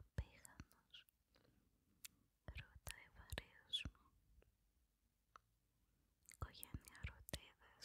Απήγανος, ρωτάει βαρύος μου, οικογένεια ρωτήδες,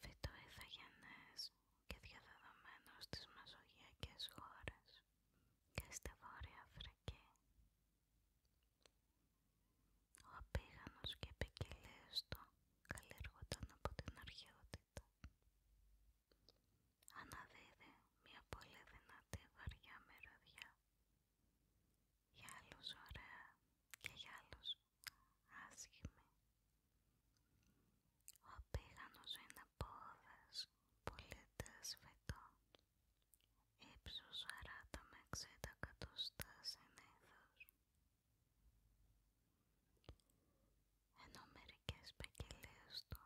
Φυτό ηθαγενές και διαδεδομένο στις μεσογειακές χώρες και στη Βόρεια Αφρική. Ο απίγανος και επικοιλίες του καλλιεργούνταν από την αρχαιότητα. Αναδίδει μια πολύ δυνατή βαριά μυρωδιά. Για άλλους ωραία και για άλλους άσχημη. Ο πηγανος είναι πόδες, πολίτες φυτό. Ύψος 40 με 60 εκατοστά συνήθως. Ενώ μερικές ποικιλίες του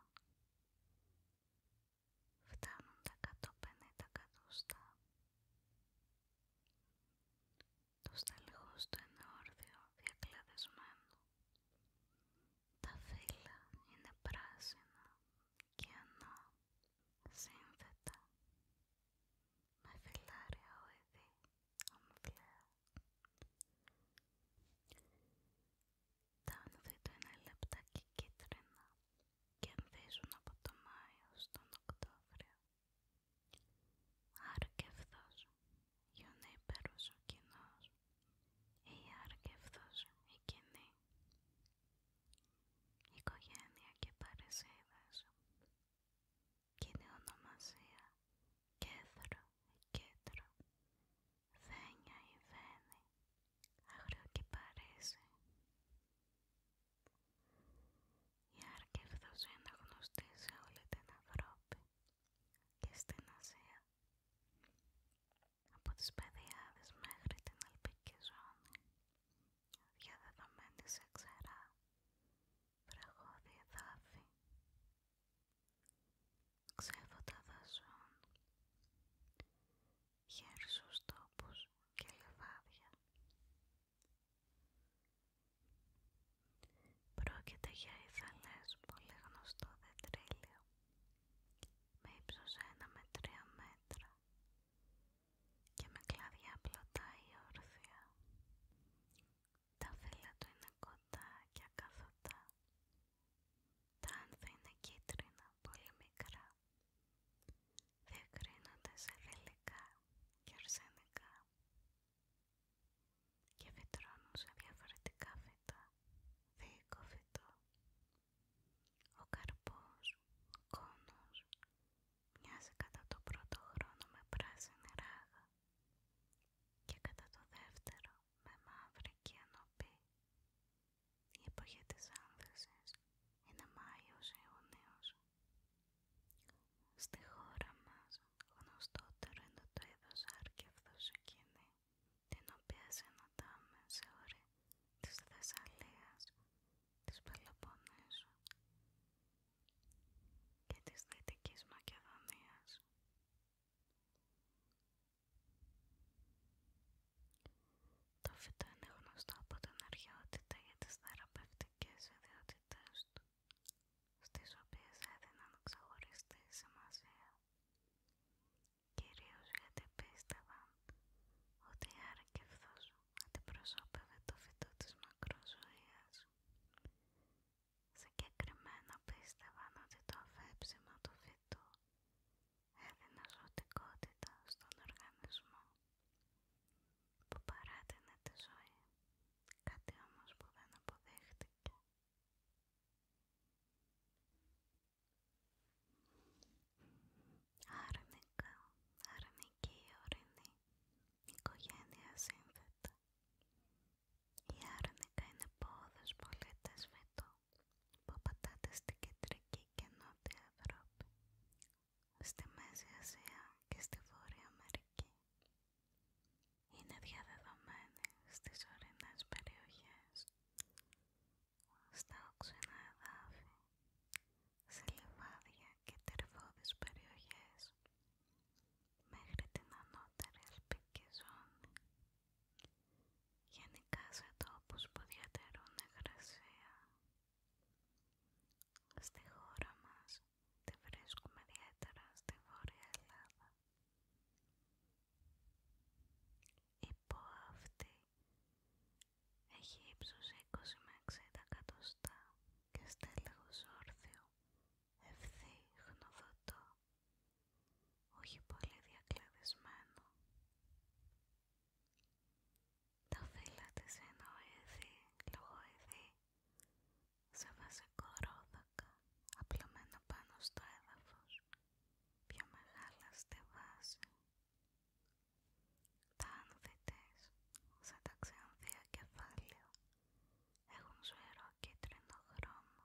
φτάνουν τα 150 εκατοστά το στέλεχος του είναι όρθιο διακλαδισμένο. Τα φύλλα είναι πράσινα και ανά, σύνθετα, με φυλλάρια οειδή, ομφλέα. Τα άνθη του είναι λεπτά και κίτρινα και ανθίζουν από το Μάιο στον Οκτώβριο. Άρα γιονίπερος ο κοινός ή άρα και αυτός η κοινή. Οικογένεια ονομασία. Κέντρο ή ή βένη. Άγριο και παρεσιδες κοινη ονομασια κέθρο η κεντρο βενια η βενη αγριο και η Άρκεφθος είναι γνωστή σε όλη την Ευρώπη και στην Ασία, από τις Παιδιάδες μέχρι την Αλπική Ζώνη, διαδεδομένη σε ξερά, βραχώδη εδάφη, ξέφωτα δασών, χέρσους τόπους και λιβάδια. Πρόκειται για ηθαλές πολύ γνωστό δετρίλιο με ύψος 1 με 3 μέτρα και με κλαδιά απλωτά ή όρθια. Τα φύλλα του είναι κοντά και ακαθωτά. Τα άνθη είναι κίτρινα, πολύ μικρά. Διακρίνονται σε και αρσενικά και φυτρώνουν σε διαφορετικά φυτά, δίκο φυτό, ο καρπός, κόνος, μοιάζει κατά το πρώτο χρόνο με πράσινη ράγα και κατά το δεύτερο με μαύρη και Η εποχή της άνθησης είναι Μάιος-Ιούνιος Στη χώρα μας γνωστότερο είναι το είδος αυτό εκείνη, την οποία συναντάμε σε όρη της Θεσσαλίας, της Πελοποννήσου και της Δυτικής Μακεδονίας. Το φυτό είναι γνωστό από την αρχαιότητα για τις θεραπευτικές ιδιότητες του στις οποίες έδιναν ξεχωριστή σημασία, κυρίως γιατί πίστευαν ότι η άρκεφθος αντιπροσώπευε το φυτό της μακροζωίας. Συγκεκριμένα πίστευαν ότι το αφέψιμα του φυτού έδινε ζωτικότητα στον οργανισμό που παράτηνε τη ζωή, κάτι όμως που δεν αποδέχτηκε. Άρνηκα, Άρνικα, ορεινή, οικογένεια σύνθετα. Η άρνηκα είναι πόδος πολύ τεσβητού που πατάτες στην κεντρική και νότια Ευρώπη, στη Μέση Ασία και στη Βόρεια Αμερική. Είναι διαδεδομένη στις ορεινές περιοχές, στα οξενά εδάφη, σε λιβάδια και τερφώδεις περιοχές, μέχρι την ανώτερη αλπική ζώνη. Γενικά σε τόπους που διατηρούν υγρασία στη χώρα μας τη βρίσκουμε ιδιαίτερα στη Βόρεια Ελλάδα. Η ΠΟΑ αυτή έχει ύψος 20 με 60 εκατοστά και στέλεχος όρθιο, ευθύ, χνοδωτό, όχι πολύ διακλαδισμένο. Τα φύλλα της είναι οειδή, σε βασικό ρόδακα, απλωμένο πάνω στο έδαφος, πιο μεγάλα στη βάση. Τα άνθη της, σαν τα έχουν ζωηρό κίτρινο χρώμα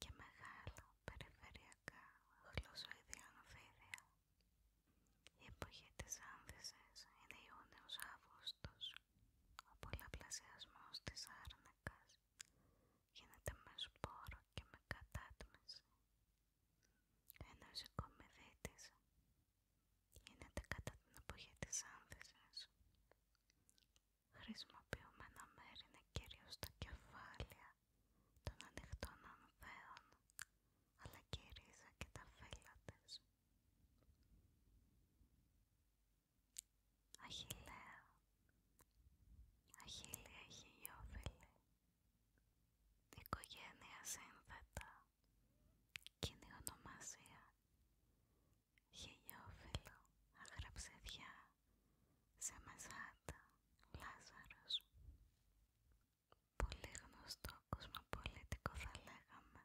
και μεγάλα περιφερειακά γλωσσοειδή ανθίδια η εποχή της άνθησης είναι Ιούνιος Αύγουστος. Ο πολλαπλασιασμός της άρνακας γίνεται με σπόρο και με κατάτμιση. Ενώ η της γίνεται κατά την εποχή της άνθησης. Χρησιμοποιούμενα μέρη είναι κυρίως τα κεφάλια των ανοιχτών ανθέων, αλλά και ρίζα και τα φύλλα Αχιλέα, Αχιλέα χιλιόφιλη, οικογένεια σύνθετα, κοινή ονομασία, χιλιόφιλο, αγραψεδιά, σεμεζάτα, Λάζαρος πολύ γνωστό κοσμοπολίτικο θα λέγαμε,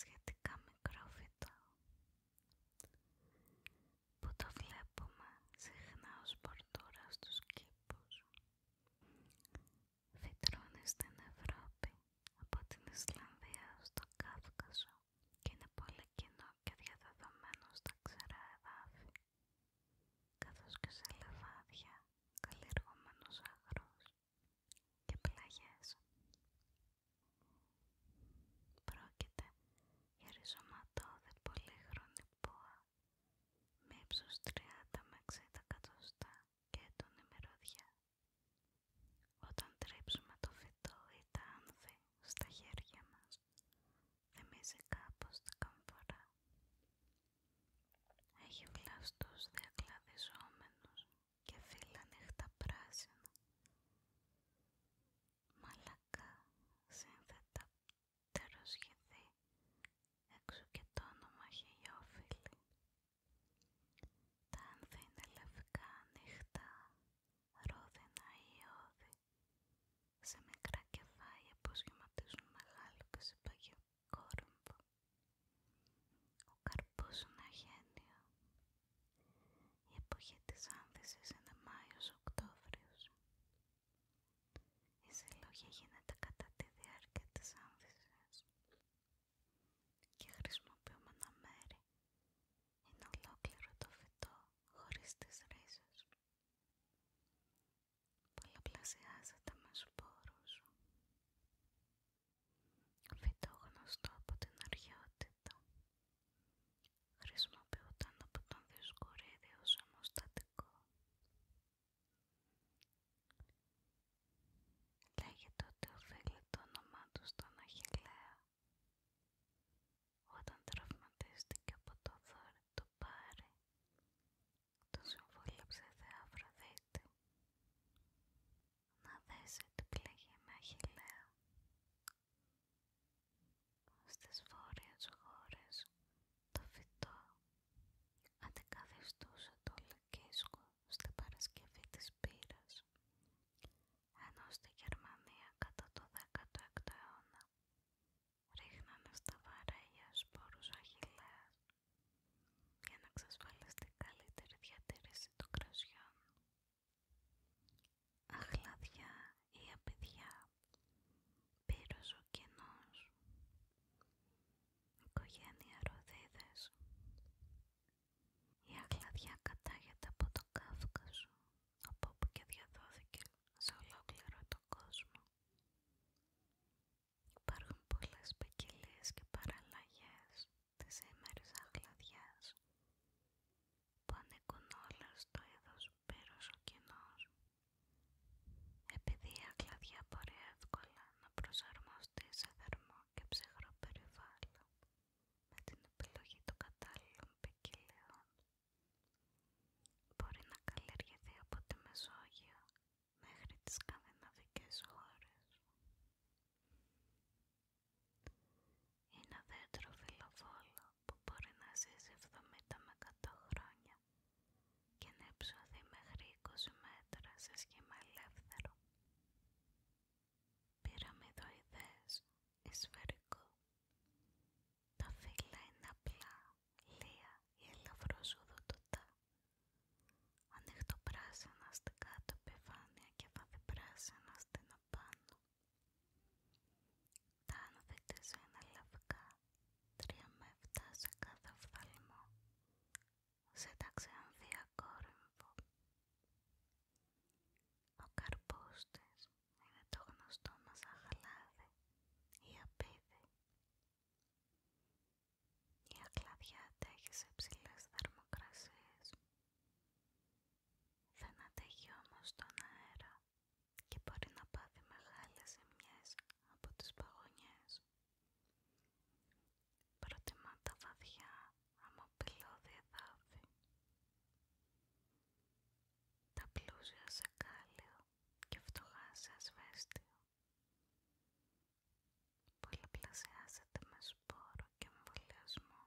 σχετικά μικρό φυτό, που το βλέπουμε συχνά ως πορτούρα στους κήπους. Φυτρώνει στην Ευρώπη, από την Ισλανδία στο Κάφκασο και είναι πολύ κοινό και διαδεδομένο στα ξερά εδάφη καθώς και σε λεφάδια καλλιεργούμενους αγρούς και πλαγιές. Πρόκειται για ριζωματόδε πολύχρονη πόα με ύψος 30 με 60 εκατοστά και έντονη μυρωδιά. Όταν τρίψουμε το φυτό ή τα άνθη στα χέρια μας, θυμίζει κάπως την καμφορά. Έχει βλαστούς διακλαδιζόμενους και φύλλα νύχτα πράσινα. Μαλακά σύνθετα τεροσχηδή, έξω και το όνομα Τα άνθη είναι λευκά νύχτα, ρόδινα ή ιώδη, σε μικρά κεφάλια που σχηματίζουν μεγάλο και ο καρπός είναι να Η εποχή της άνθησης είναι Μάιος-Οκτώβριος. Η συλλογή γίνεται κατά τη διάρκεια της άνθησης και χρησιμοποιούμενα μέρη είναι ολόκληρο το φυτό χωρίς τις ρίζες. Πολλαπλασιάζεται με σπόρους. Φυτό γνωστό από την αρχαιότητα. Χρησιμοποιούταν από τον Διοσκορίδη ως ομοστατικό. Λέγεται ότι οφείλε το όνομά του στον Αχιλλέα. Όταν τραυματίστηκε από το δόρυ του Πάρη, το συμβούλεψε Θεά Αφροδίτη να δέσει την πληγή με αχιλλέα στις βόρειες χώρες το φυτό αντικαθιστούσε το λυκίσκο στην Παρασκευή της Πύρας ενώ στη Γερμανία κατά το 16ο αιώνα ρίχνανε στα βαρέλια σπόρους αχιλλέας για να εξασφαλίσετε καλύτερη διατήρηση των κρασιών. Αχλάδια ή απαιδιά, πύρος ο κενός, οικογένεια ροδίδες. Η απειδια πυρος ο κενος κατάγεται από το Κάφκασο, από όπου και διαδόθηκε σε ολόκληρο τον κόσμο. Υπάρχουν πολλές ποικιλίες και παραλλαγές της σήμερης αχλαδιάς που ανήκουν όλα στο είδος πυροσοκοινός. Επειδή η αχλαδιά μπορεί εύκολα να προσαρμοστεί σε θερμό και ψυχρό περιβάλλον με την επιλογή των κατάλληλων ποικιλίων, μπορεί να καλλιεργηθεί από τη Μεσόγειο μέχρι τις σκανδιναβικές χώρες. Είναι δέντρο φιλοβόλο που μπορεί να ζήσει 70 με 100 χρόνια και να υψωθεί μέχρι 20 μέτρα σε σχήμα ελεύθερο. Πυραμιδοειδές, εσφαιρικό, Τα φύλλα είναι απλά, λεία ή ελαφρώς οδοτοτά ανοιχτοπράσινα στην κάτω επιφάνεια και βαδυπράσινα στην απάνω. Τα άνθη της είναι λευκά, 3 με 7 σε κάθε οφθαλμό, σε ταξιανθία κόρυμβο. Ο καρπός της είναι το γνωστό μας αχλάδι ή απίδι. Η ακλαδιά αντέχει σε ψηλές θερμοκρασίες. Δεν αντέχει όμως τον αέρα και μπορεί να πάθει μεγάλες ζημιές από τις παγωνιές. Προτιμά τα βαθιά αμμοπυλώδη εδάφη. Τα πλούσια σε κάλιο και φτωχά σε ασβέστιο. Πολλαπλασιάζεται με σπόρο και εμβολιασμό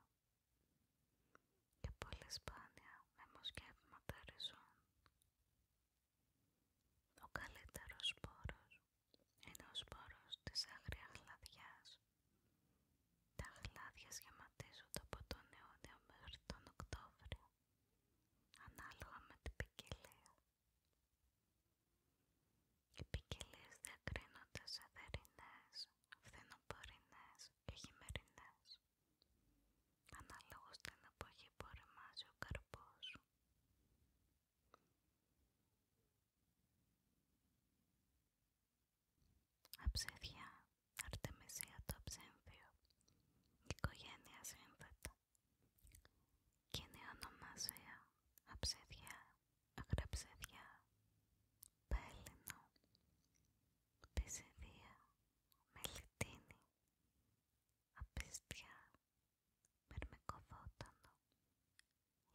και πολύ σπάνια με μοσκεύματα ριζών. Ο καλύτερος σπόρος είναι ο σπόρος της άγρια χλαδιάς. Τα χλάδια σχηματίζονται από τον Ιούνιο μέχρι των Οκτώβριο, ανάλογα με την ποικιλία. Οι ποικιλίες διακρίνονται σε θερινές, φθινοπορεινές και χειμερινές, αναλόγως την εποχή που οριμάζει ο καρπός. Αψίδια, αρτεμισία το ψύμφιο, οικογένεια σύνθετα. Κοινή ονομασία αψιδιά, αγραψιδιά, πέλινο, πισιδία, μελιτίνη, απιστιά, μερμικοβότανο,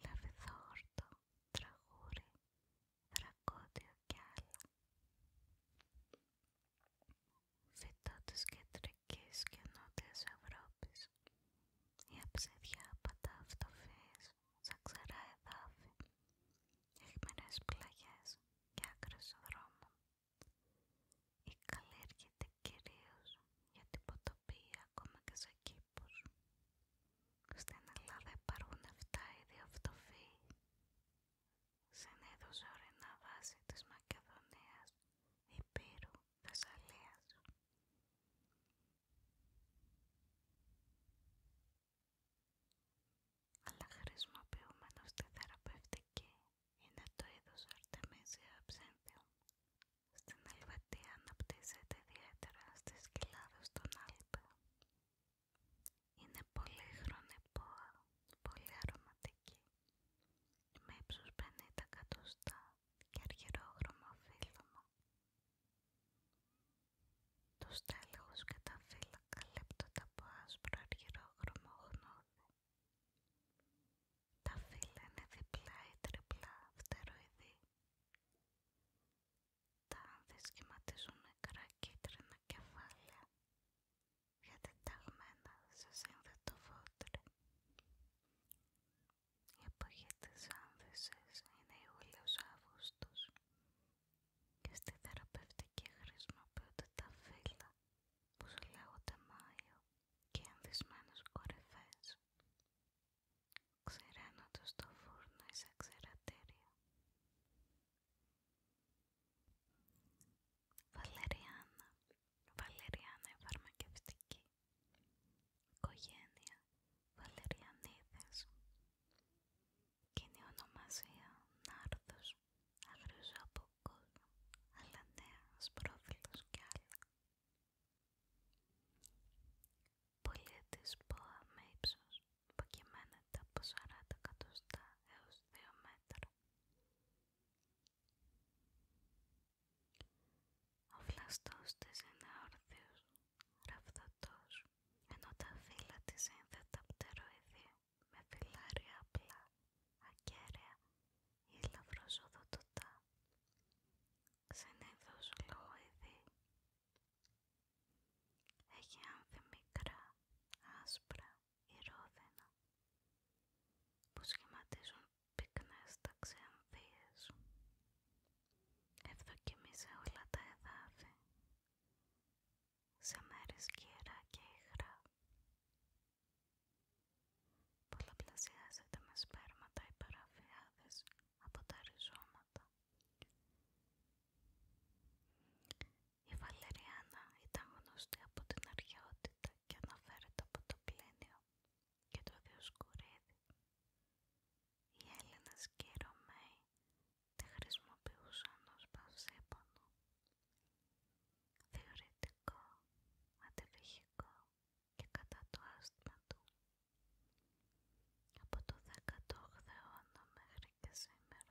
λαβιδόχορτο, τραγούρι, δρακόντιο και άλλα. Φυτό της κεντρικής Ανατολικής και Νότιας Ευρώπης. Η αψίδια πατά αυτοφύης, σαν ξερά εδάφη, αιχμηρές πλαγιές και άκρες δρόμων. Η καλλιεργείται κυρίως για την ποτοπία ακόμα και σε κήπους. Στην Ελλάδα υπάρχουν 7 είδη αυτοφύη. Συνήθως ορεινά βάση της Μακεδονίας, Υπήρου, Θεσσαλίας. Αλλά χρησιμοποιούμενο στη θεραπευτική είναι το είδος Artemisia absinthium. Στην Ελβετία αναπτύσσεται ιδιαίτερα στις κοιλάδες των Άλπαιων Είναι πολύ χρονεπόα, πολύ αρωματική, με ύψος 50 και αργυρόχρωμα φύλλωμα. Το στέλεχους και τα φύλλα καλύπτονται από άσπρο αργυρόχρωμο χνώδι. Τα φύλλα είναι διπλά ή τριπλά φτεροειδή. Τα άνθη σχηματίζουν μικρά κίτρινα κεφάλαια γιατί σε σύνθετο φώτρι. Η εποχή της άνθησης είναι Ιούλιος-Αύγουστος και στη θεραπευτική χρησιμοποιούνται τα φύλλα που σου λέγονται Μάιο και ενδυσμένες κορυφές. Ξηραίνονται το φούρνο ή σε ξηρατήρια. Βαλεριάνα. Βαλεριάνα η σε ξερατηρια βαλεριανα βαλεριανα η φαρμακευτικη Οικογένεια Βαλεριανίδες Κοινή ονομασία Νάρδος αλλά Αλανέας Πρόφυλος κι άλλα Πολίτης ΠΟΑ με ύψος που κυμαίνεται από 40 εκατοστά έως 2 μέτρα ο φλαστός της είναι όρθιος, ενώ τα φύλλα της είναι πτεροειδή, με φυλάρια απλά, ακέραια ή λαυροσοδοτοτά. Συνήθως λογοειδή. Έχει άνθη μικρά, άσπρα ή ρόδινα, που σχηματίζουν πυκνές ταξιαμφίες. σε όλα τα εδάφη, σε μέρη σκυρά και υγρά. Πολλαπλασιάζεται με σπέρματα Η παραφιάδες από τα ριζώματα. Η Βαλεριάνα ήταν γνωστή από την αρχαιότητα και αναφέρεται από το πλήνιο και το Διοσκουρίδη. Οι Έλληνες και οι Ρωμαίοι τη χρησιμοποιούσαν ως παυσίπονο. Θεωρητικό, αντιβυχικό και κατά το άσθμα του. Από το 18ο αιώνα μέχρι και σήμερα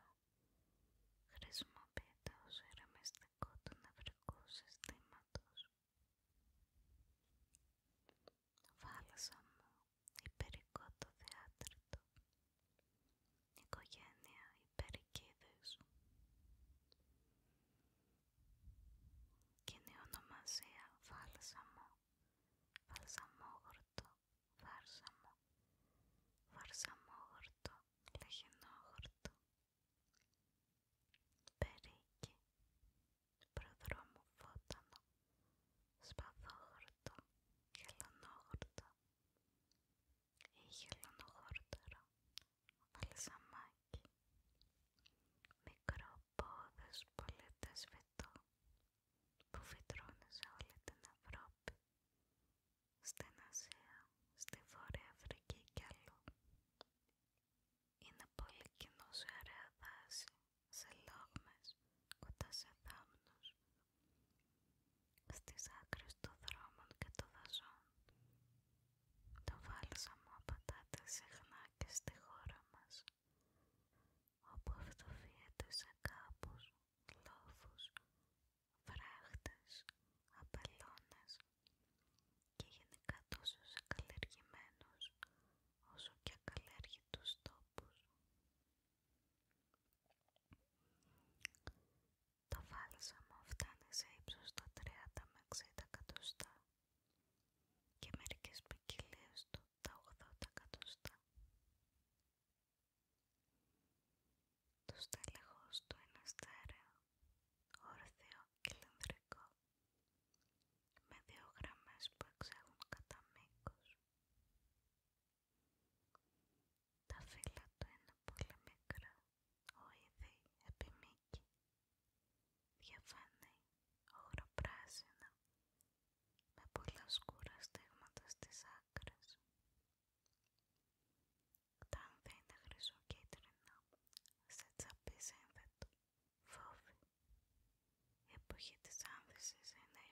χρησιμοποιείται ως ηρεμιστικό του νευρικού συστήματος. Φάλσαμο, μου, υπερικό το θεάτριτο, οικογένεια υπερικίδες. Κοινή ονομασία Βάλσαμο, Βαλσαμόγορτο, Βάρσαμο, Βαρσαμόγορτο, Λεχινόγορτο, Περίκι, προδρόμου φώτανο, σπαθόχορτο, χελωνόχορτο ή χελωνοχόρτερο, βαλσαμάκι, μικρό πόδες που φυτρώνει σε όλη την Ευρώπη, στην Ασία, στη Βόρεια Αφρική και αλλού. Είναι πολύ κοινό σε δάση, σε λόγμες, κοντά σε δάμνους, στις άκρες των δρόμων και των δασών. Το βάλσαμο απαντάται συχνά και στη χώρα μας, όπου αυτοφύεται σε κάπους, λόφους, βράχτες, απελώνες και γενικά τόσο σε καλλιεργημένους όσο και ακαλλιέργητους τόπους. Το βάλσαμο φτάνει σε ύψος των 30 με 60 και μερικές ποικιλίες του τα 80 εκατοστά. Το στέλεχος του είναι στέρεο, ορθίο και με δύο γραμμές που εξέχουν κατά μήκος. Τα φύλλα του είναι πολύ μικρά, ο επιμήκη, διαφανή, ογροπράσινα, με πολλά σκούρα στίγματα στις άκρες. Τα άνθη είναι χρυσοκίτρινα, σε σύνθετο. Φόβη. Η εποχή της άνθησης είναι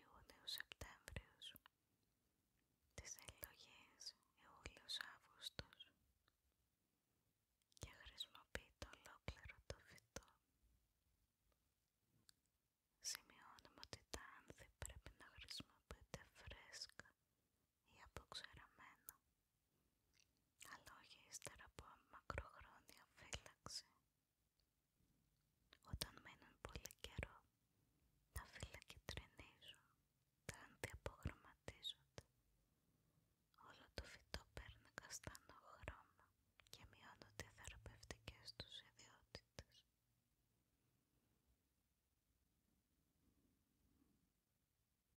Σεπτέμβριο, Τις εκλογές Ιούλιος-Αύγουστος. Και χρησιμοποιείται ολόκληρο το φυτό. Σημειώνουμε ότι τα άνθη πρέπει να χρησιμοποιείται φρέσκα ή αποξεραμένο, αλλά όχι ύστερα από μακροχρόνια φύλαξη. Όταν μένουν πολύ καιρό, τα φύλλα κυτρινίζουν, τα αντιαπογραμματίζονται. Όλο το φυτό παίρνει καστανό χρώμα και μειώνονται οι θεραπευτικές τους ιδιότητες.